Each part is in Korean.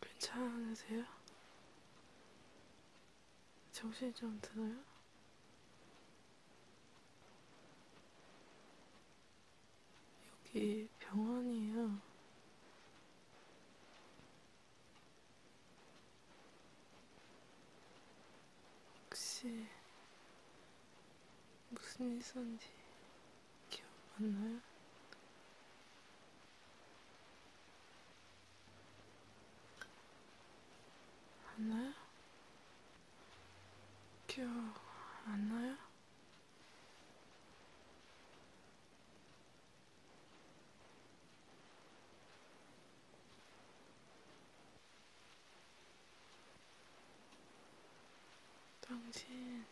괜찮으세요? 정신이 좀 드나요? 여기 병원이에요. 혹시 무슨 일 있었는지 기억 안 나요? 안 나요? 기억 안 나요? 당신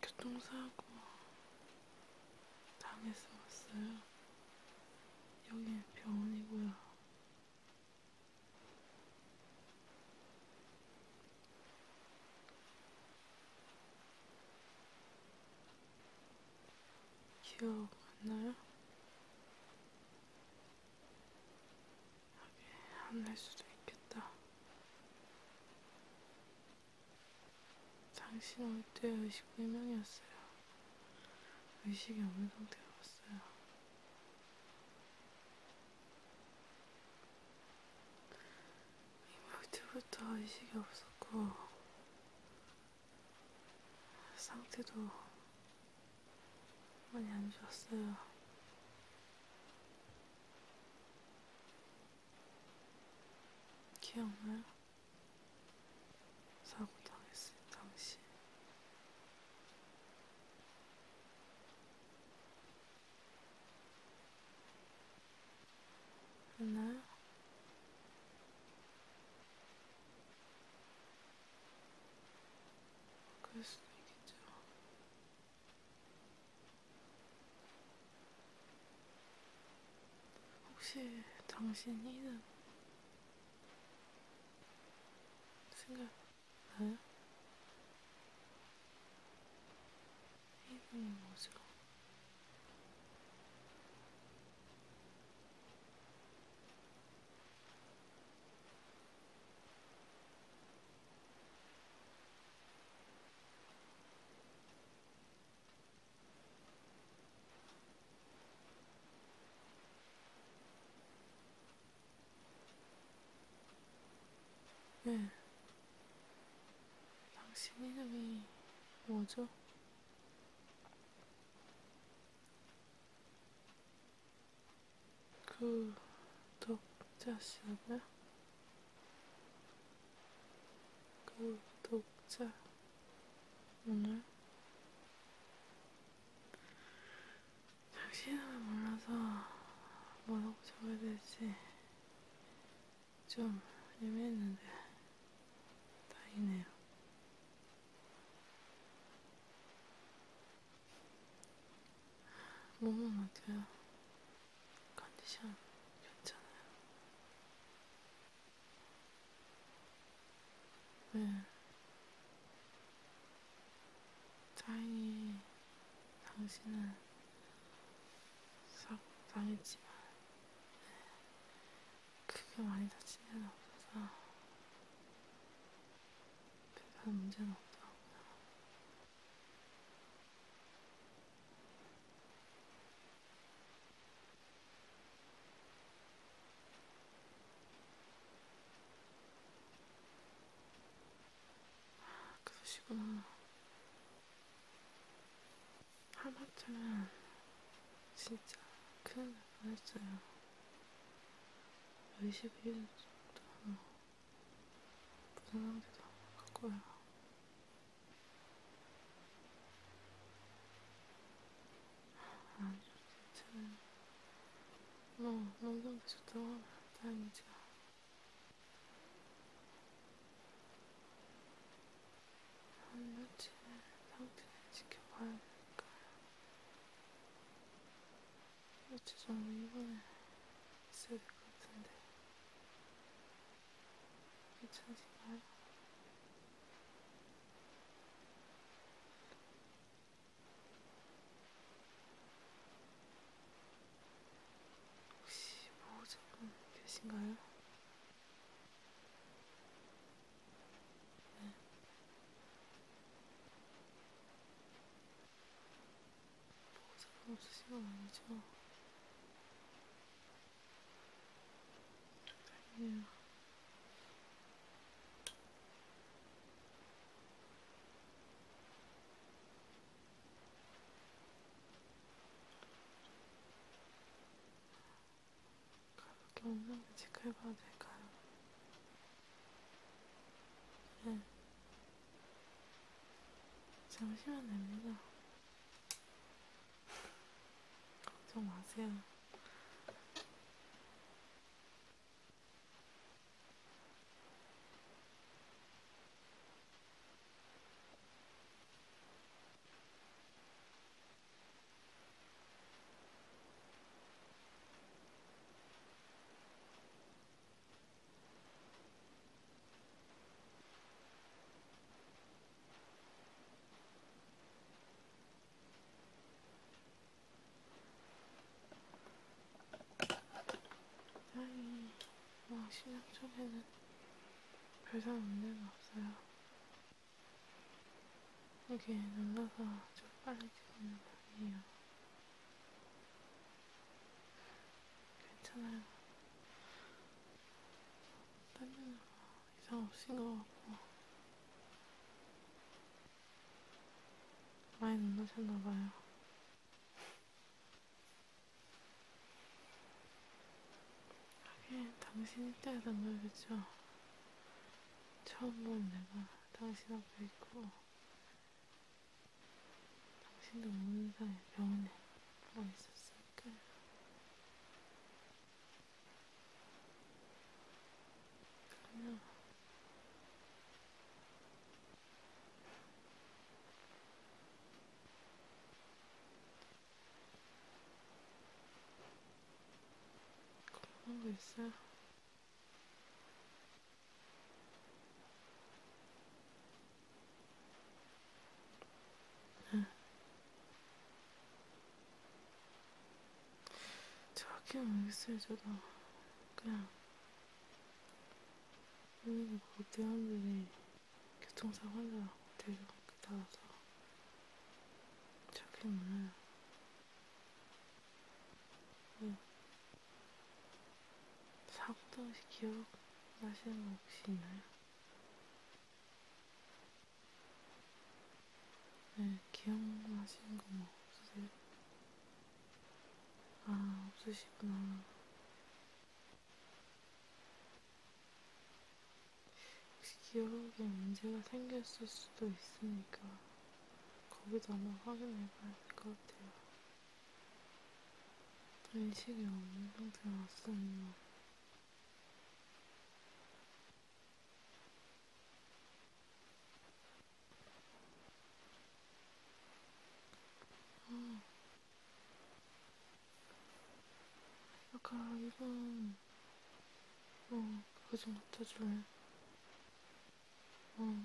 교통사고 당해서 왔어요. 여기 병원이고요. 기억 안 나요? 안날 수도 있겠다. 당신 올 때 의식 불명이었어요. 의식이 없는 상태로 왔어요. 이럴 때부터 의식이 없었고 상태도 많이 안 좋았어요. 기억나요? 사고 당했을 당시. 있나요? 그럴 수도 있겠죠. 혹시 당신 이름 생각나요? 이름이 뭐죠? 네. 당신 이름이 뭐죠? 구독자시라고요? 그 구독자 그 오늘 당신 이름을 몰라서 뭐라고 적어야 될지 좀 애매했는데 다행이네요. 몸은 어때요? 컨디션 괜찮아요? 네. 다행히 당신은 싹 당했지만 네. 크게 많이 다친 데는 없어서 별다른 문제는 없더라고요. 그러시구나. 하마터면 진짜 큰일 날 뻔했어요. 21일 정도 부정한 데도 한번 바꿔요. 아니요, 저는 뭐 농경도 좋다고 하면 다행이죠. 한 며칠 상태를 지켜봐야 되니까요. 며칠 전에 입원에 있어야 될 것 같은데 괜찮으신가요? 혹시 보호자분 뭐 계신가요? 네. 상관 없으신 건 아니죠? 다행이에요. 가볍게 온상을 체크해봐도 될까요? 네. 잠시만 됩니다. 걱정 마세요. 아니, 뭐, 신장 쪽에는 별상 문제는 없어요. 여기 눌러서 좀 빨리 찍는 편이에요. 괜찮아요. 딴면 이상 없인 것 같고. 많이 놀라셨나봐요. 하긴, 당신이 때하던 걸, 그죠? 처음 본 내가 당신 앞에 있고, 당신도 모르는 사이 병원에 누워 있었을까? 그냥 겁먹고 있어요. 응. 저렇게 모르겠어요, 저도. 그냥, 여기서 뭐 대원들이 교통사고 환자 데리고 나와서 저렇게 몰라요. 응. 네. 사고도 혹시 기억나시는 거 혹시 있나요? 네, 기억나시는 거 뭐 없으세요? 아, 없으시구나. 혹시 기억에 문제가 생겼을 수도 있으니까 거기도 한번 확인해 봐야 될 것 같아요. 의식이 없는 상태로 왔었나? 아, 아까 이번 어 그거 좀 갖다 줄래? 어.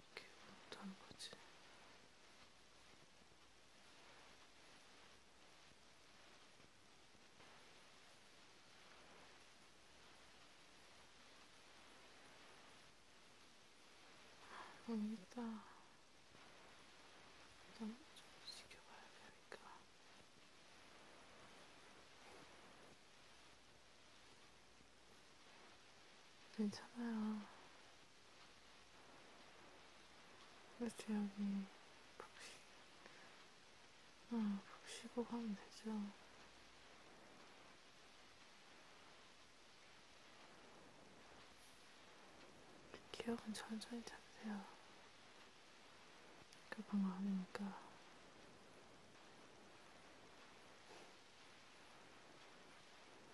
이렇게 아, 못하는 거지. 음, 이따, 일단 좀 지켜봐야 되니까. 괜찮아요. 그래서 여기 푹 쉬, 어, 푹 쉬고 가면 되죠. 기억은 천천히 잡으세요. 급한 거 아니니까.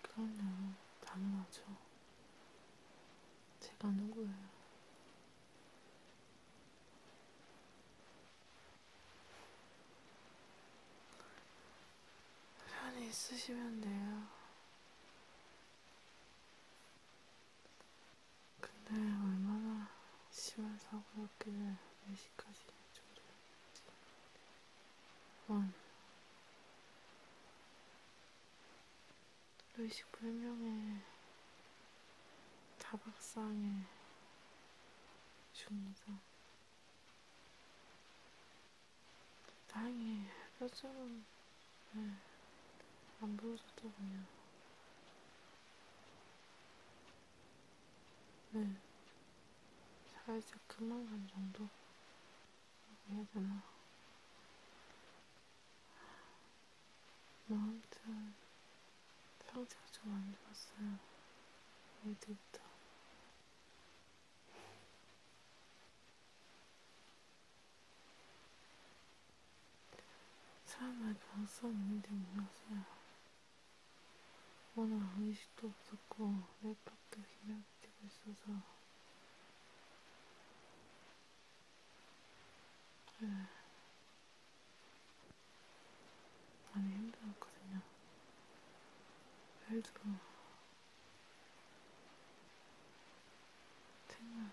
그럼요, 당연하죠. 제가 누구예요? 편히 있으시면 돼요. 근데 얼마나 심한 사고였길래 4시까지 졸였지. 원. 의식불명의 다박상의 중상. 다행히 뼈처럼 네. 안 부러졌더군요. 네. 살짝 그만한 정도? 해야 되나? 뭐 아무튼 상태가 좀 안 좋았어요. 어제부터. 사람을 방송 있는데 몰랐어요. 워낙 의식도 없었고 랩밖에 기억 있어서 네. 많이 힘들었거든요. 벨도 팀은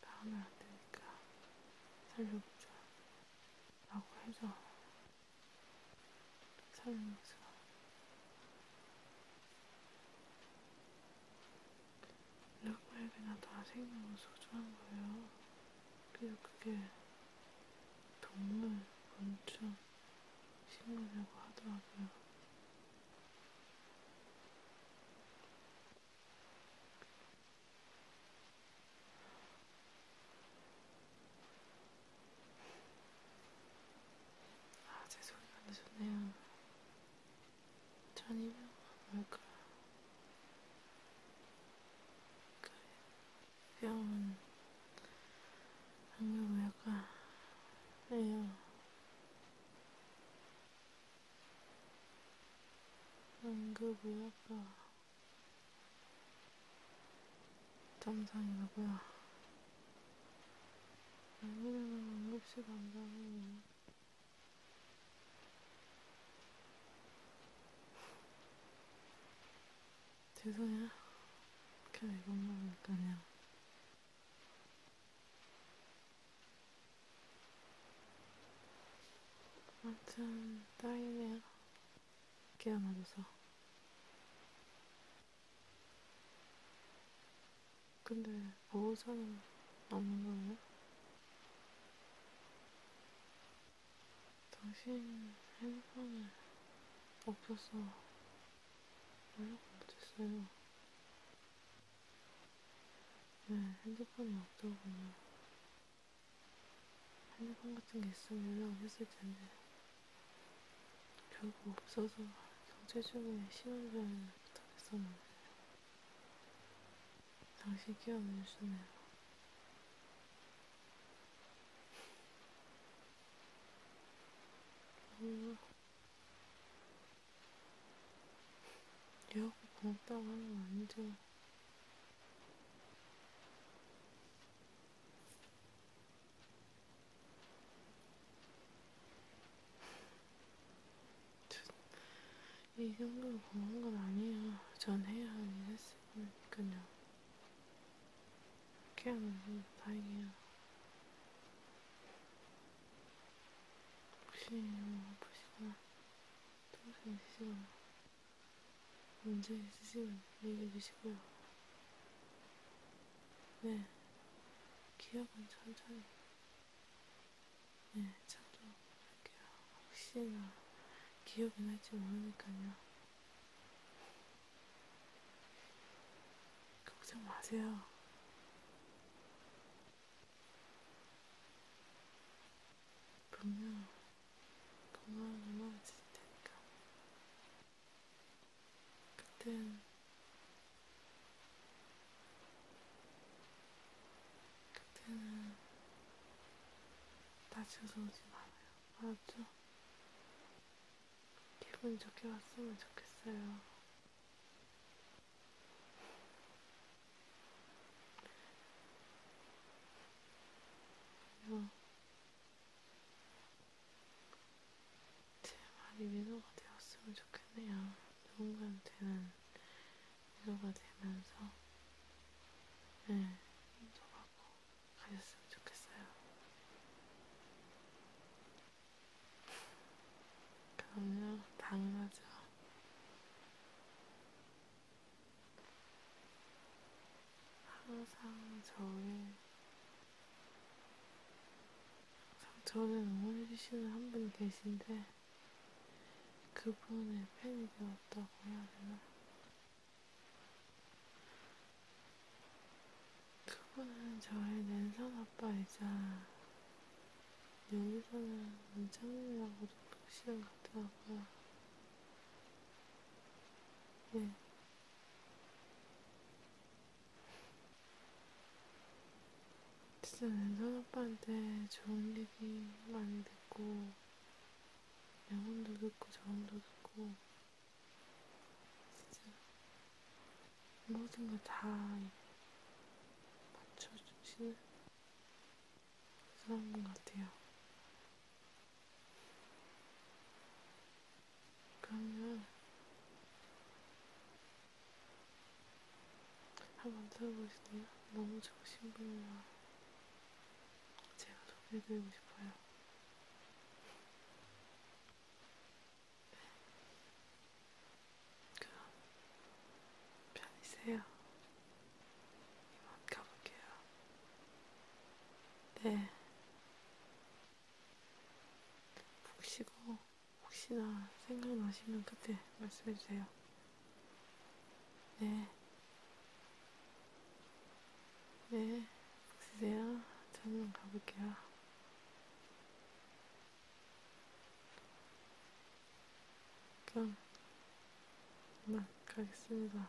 다음에 안 되니까 살려보자 라고 해서 설명서 누구에게나 다 생명은 소중한 거예요. 그리고 그게 동물, 곤충, 식물이라고 하더라고요. 아, 제 소리가 안 되셨네요. 전이면 뭘까? 그래. 병원, 안경외과, 에요. 응급의학과 점상이라고요. 아니면 응급실 간다고. 죄송해요. 그냥 이것 먹으니까요. 아무튼, 딸이네요. 깨어나줘서. 근데 보호자는 뭐 없는 거예요? 당신 핸드폰이 없어서 연락 못했어요. 네, 핸드폰이 없더군요. 핸드폰 같은 게 있으면 연락을 했을 텐데. 결국 없어서 경제 중에 신혼여행을 부탁했었는데 당시 끼어내주네요. 뭔가 얘하고 고맙다고 하는 건 아니죠. 이 정도로 고마운 건 아니에요. 전 해야 하긴 했을 거니까요. 이렇게 하면 뭐 다행이에요. 혹시 뭐 아프시거나 통증 있으시거나 문제 있으시면 얘기해 주시고요. 네, 기억은 천천히. 네, 저도 할게요. 혹시나 기억이 날지 모르니까요. 걱정 마세요. 분명 건강하게 넘어질 테니까. 그땐 그때는 다쳐서 오지 말아요. 알았죠? 기분 좋게 왔으면 좋겠어요. 제 네, 말이 위로가 되었으면 좋겠네요. 누군가한테는 위로가 되면서 네, 인도하고 가셨으면 좋겠어요. 그럼요, 당연하죠. 항상 저의 저를 응원해주시는 한 분이 계신데, 그분의 팬이 되었다고 해야 되나? 그분은 저의 랜선 아빠이자, 여기서는 은창님이라고도 부르시는 것 같더라고요. 예. 진짜 랜선 오빠한테 좋은 얘기 많이 듣고 영혼도 듣고 저음도 듣고 진짜 모든 걸 다 맞춰주시는 사람 같아요. 그러면 한번 들어보시네요. 너무 좋으신 분이라 제가 소개해드리고 싶어요. 그럼 편히세요. 이만 가볼게요. 네. 푹 쉬고. 혹시나 생각나시면 그때 말씀해주세요. 네. 네. 쓰세요. 저는 가볼게요. 그럼, 그만 가겠습니다.